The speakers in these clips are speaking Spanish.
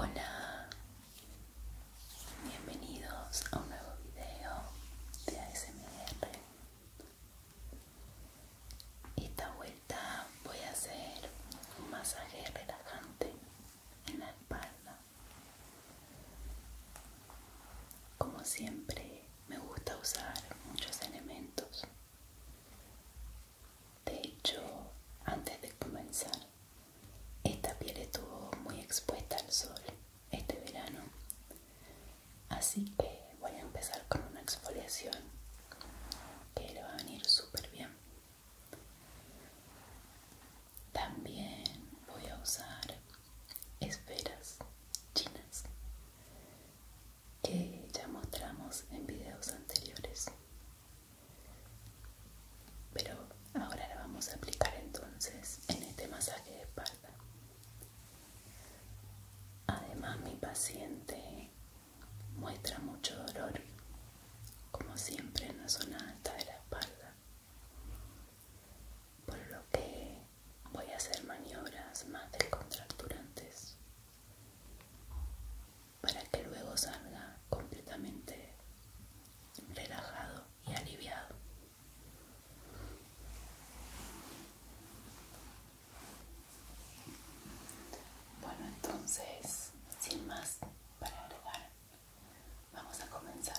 Hola, bienvenidos a un nuevo video de ASMR esta vuelta voy a hacer un masaje relajante en la espalda como siempre me gusta usar muchos elementos de hecho antes de comenzar esta piel estuvo muy expuesta al sol este verano Así que voy a empezar con una exfoliación que le va a venir súper bien. También voy a usar esferas chinas que ya mostramos en videos anteriores. Pero ahora la vamos a aplicar entonces en este masaje de espalda. Además mi paciente muestra mucho dolor, como siempre en la zona alta de la espalda, por lo que voy a hacer maniobras más descontracturantes para que luego salga completamente relajado y aliviado. Bueno, entonces, sin más para agregar, vamos a comenzar.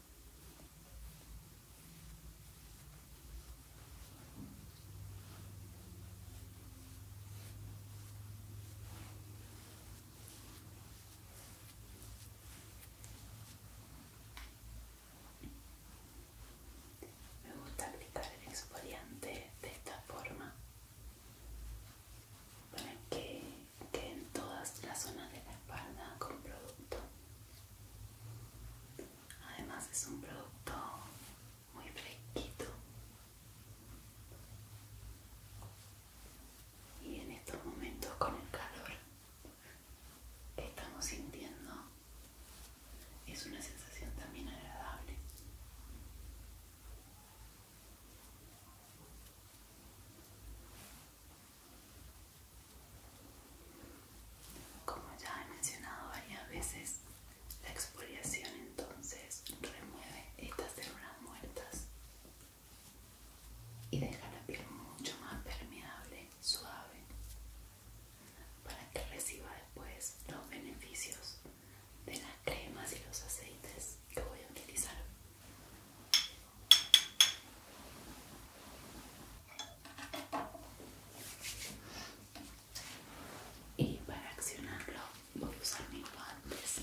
Me gusta aplicar el exfoliante de esta forma para que que en todas las zonas de la espalda con producto. Además es un producto muy fresquito. Y en estos momentos con el calor que estamos sintiendo es una sensación también agradable. Como ya he mencionado varias veces, la exfoliación entonces remueve estas células muertas y deja la piel mucho más permeable, suave, para que reciba después los beneficios de las cremas y los aceites que voy a utilizar. Y para accionarlo voy a usar mis guantes.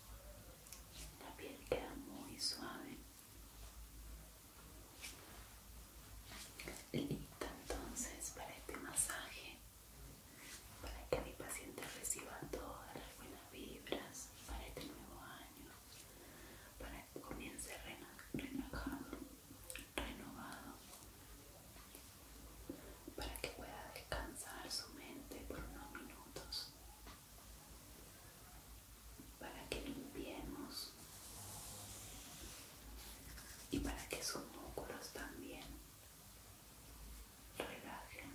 La piel queda muy suave. Listo, entonces para este masaje, para que mi paciente reciba todas las buenas vibras para este nuevo año, para que comience relajado, renovado para que pueda descansar su mente por unos minutos, para que limpiemos y para que sus músculos también relajen.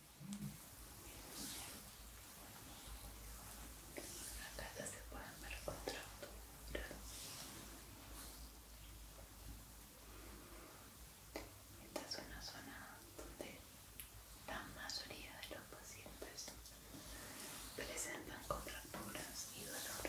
Acá ya se pueden ver contracturas. Esta es una zona donde la mayoría de los pacientes presentan contracturas y dolor.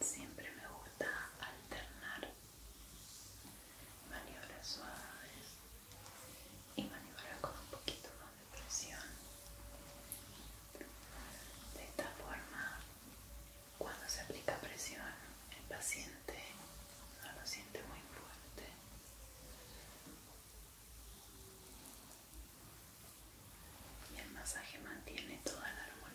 Siempre me gusta alternar maniobras suaves y maniobras con un poquito más de presión. De esta forma cuando se aplica presión, el paciente no lo siente muy fuerte. Y el masaje mantiene toda la armonía.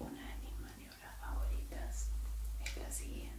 Una de mis maniobras favoritas es la siguiente.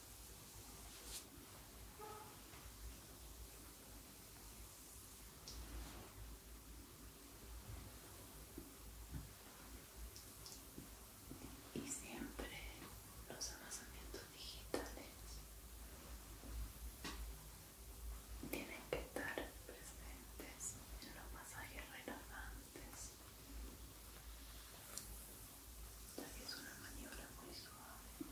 y siempre los amasamientos digitales tienen que estar presentes en los masajes relajantes ya es una maniobra muy suave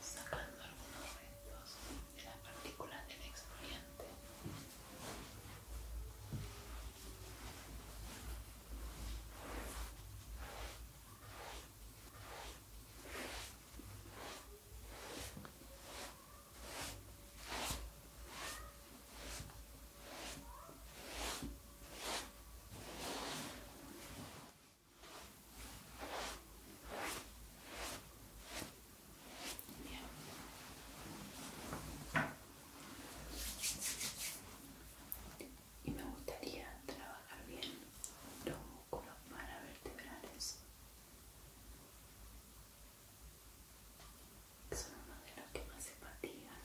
sacando algunos restos de la partículas del exfoliante. Y me gustaría trabajar bien los músculos paravertebrales. Son uno de los que más se fatigan.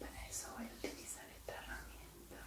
Para eso voy a utilizar esta herramienta.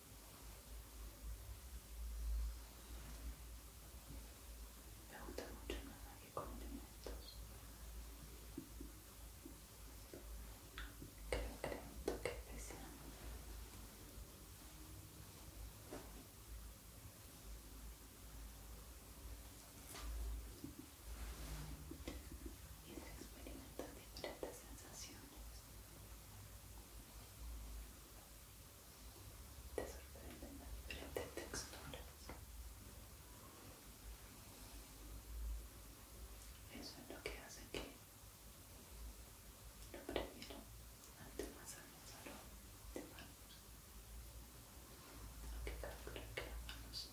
Me gusta mucho más que con Creo que es toque especial. Y se experimentan diferentes sensaciones. Te sorprenden las diferentes texturas. Eso es lo que hace que lo primero antes de manos. Aunque calcular que las manos son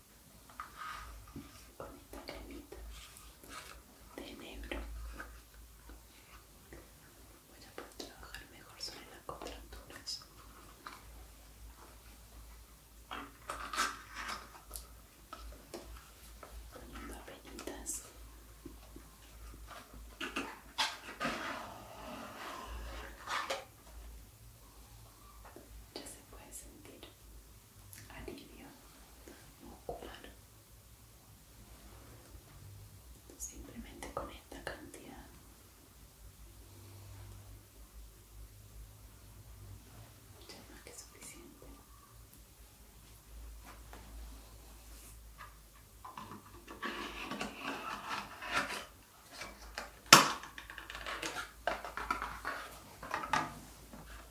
con esta cremita de negro voy a poder trabajar mejor sobre las contracturas poniendo ya se puede sentir alivio muscular simplemente con esta cantidad ya es más que suficiente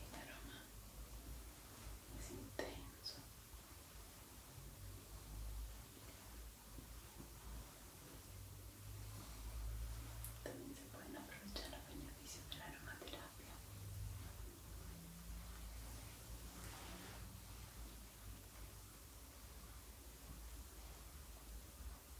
El aroma es intenso. También se pueden aprovechar los beneficios de la aromaterapia.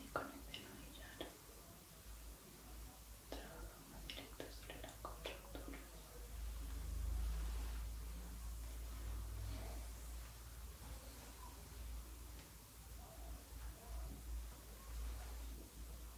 Y con el denuillar trabajamos directo sobre la contracturas.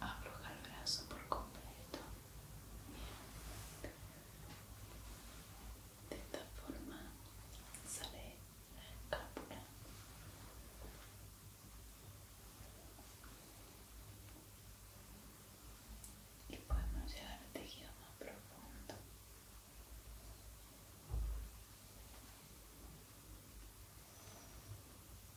afloja el brazo por completo. De esta forma sale la escápula. Y podemos llegar al tejido más profundo.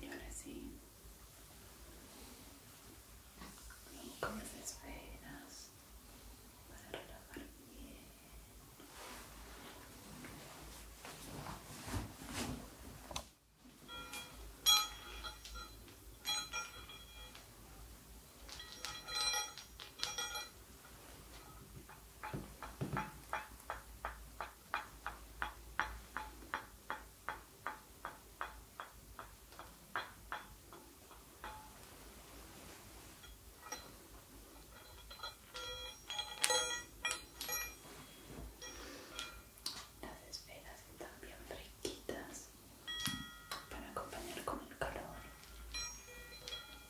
Y ahora sí, con las esferas para relajar bien. Las esferas están bien fresquitas para acompañar con el calor.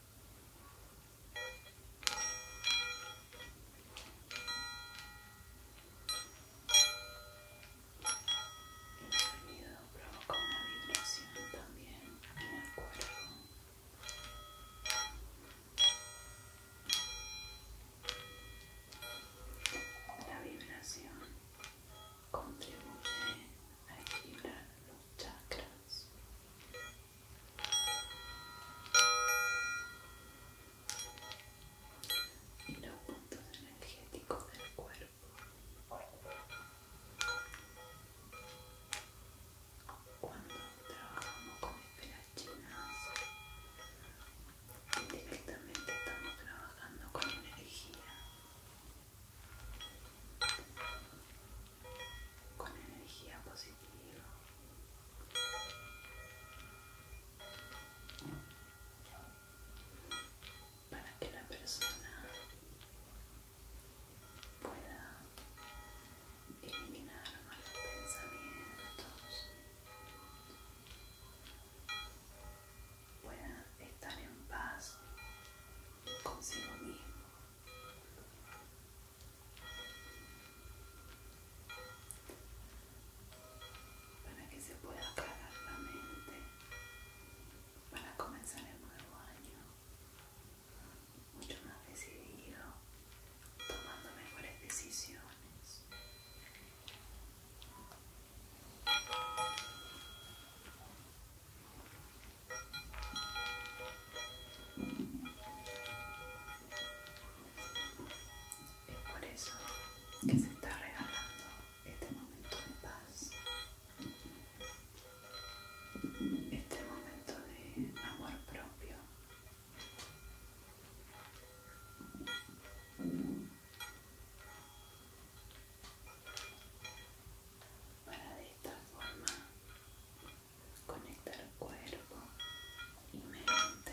El sonido provoca una vibración también en el cuerpo. La vibración contribuye a equilibrar los chakras y los puntos energéticos del cuerpo. Cuando trabajamos con esferas chinas, directamente estamos trabajando con energía, con energía positiva para que la persona pueda eliminar malos pensamientos pueda estar en paz consigo mismo para que se pueda aclarar la mente para comenzar el nuevo año mucho más decidido tomando mejores decisiones es por eso que se está regalando este momento de paz, este momento de amor propio. Para de esta forma conectar cuerpo y mente.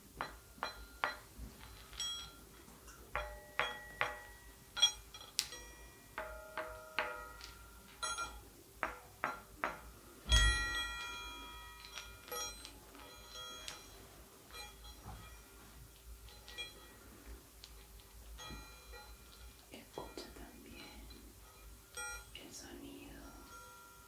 Escucha también el sonido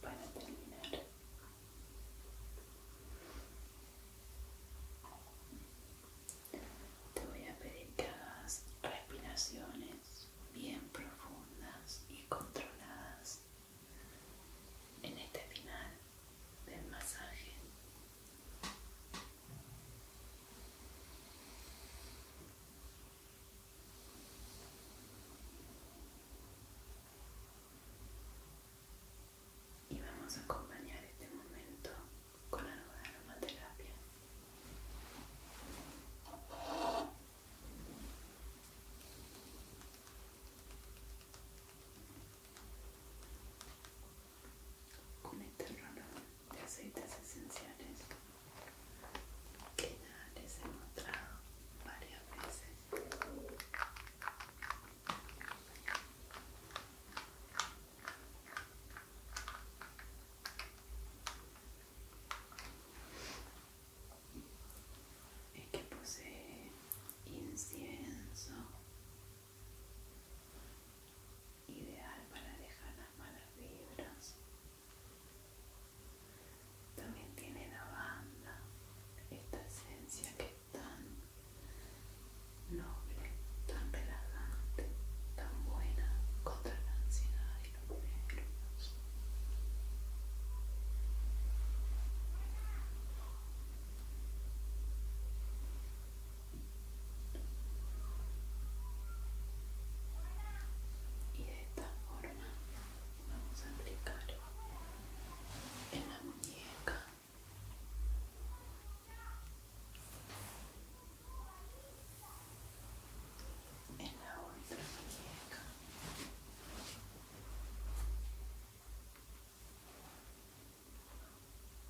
para terminar te voy a pedir que hagas respiraciones bien profundas y controladas en este final del masaje y vamos a acompañar este momento con algo de aromaterapia. Un terrona este de aceites esenciales que ya les he mostrado varias veces es que posee incienso ideal para dejar las malas vibras. También tiene la banda esta esencia que es tan noble, tan relajante, tan buena contra la ansiedad y los nervios y de esta forma vamos a aplicar en la muñeca en la otra muñeca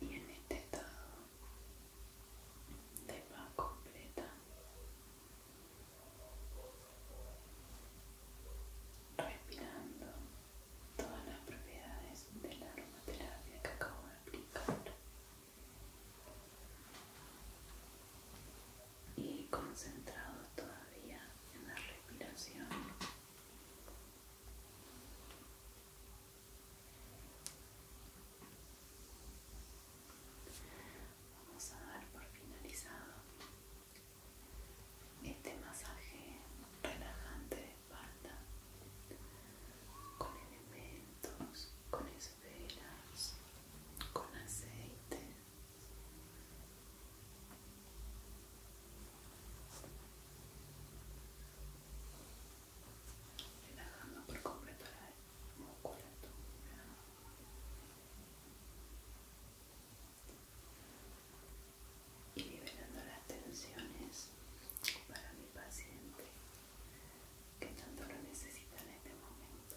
y en este estado de va completa respirando todas las propiedades de la aromaterapia que acabo de aplicar y concentrado todavía en la respiración Vamos a dar por finalizado este masaje relajante de espalda con elementos, con esferas, con aceite. Relajando por completo la musculatura y liberando las tensiones para mi paciente que tanto lo necesita en este momento.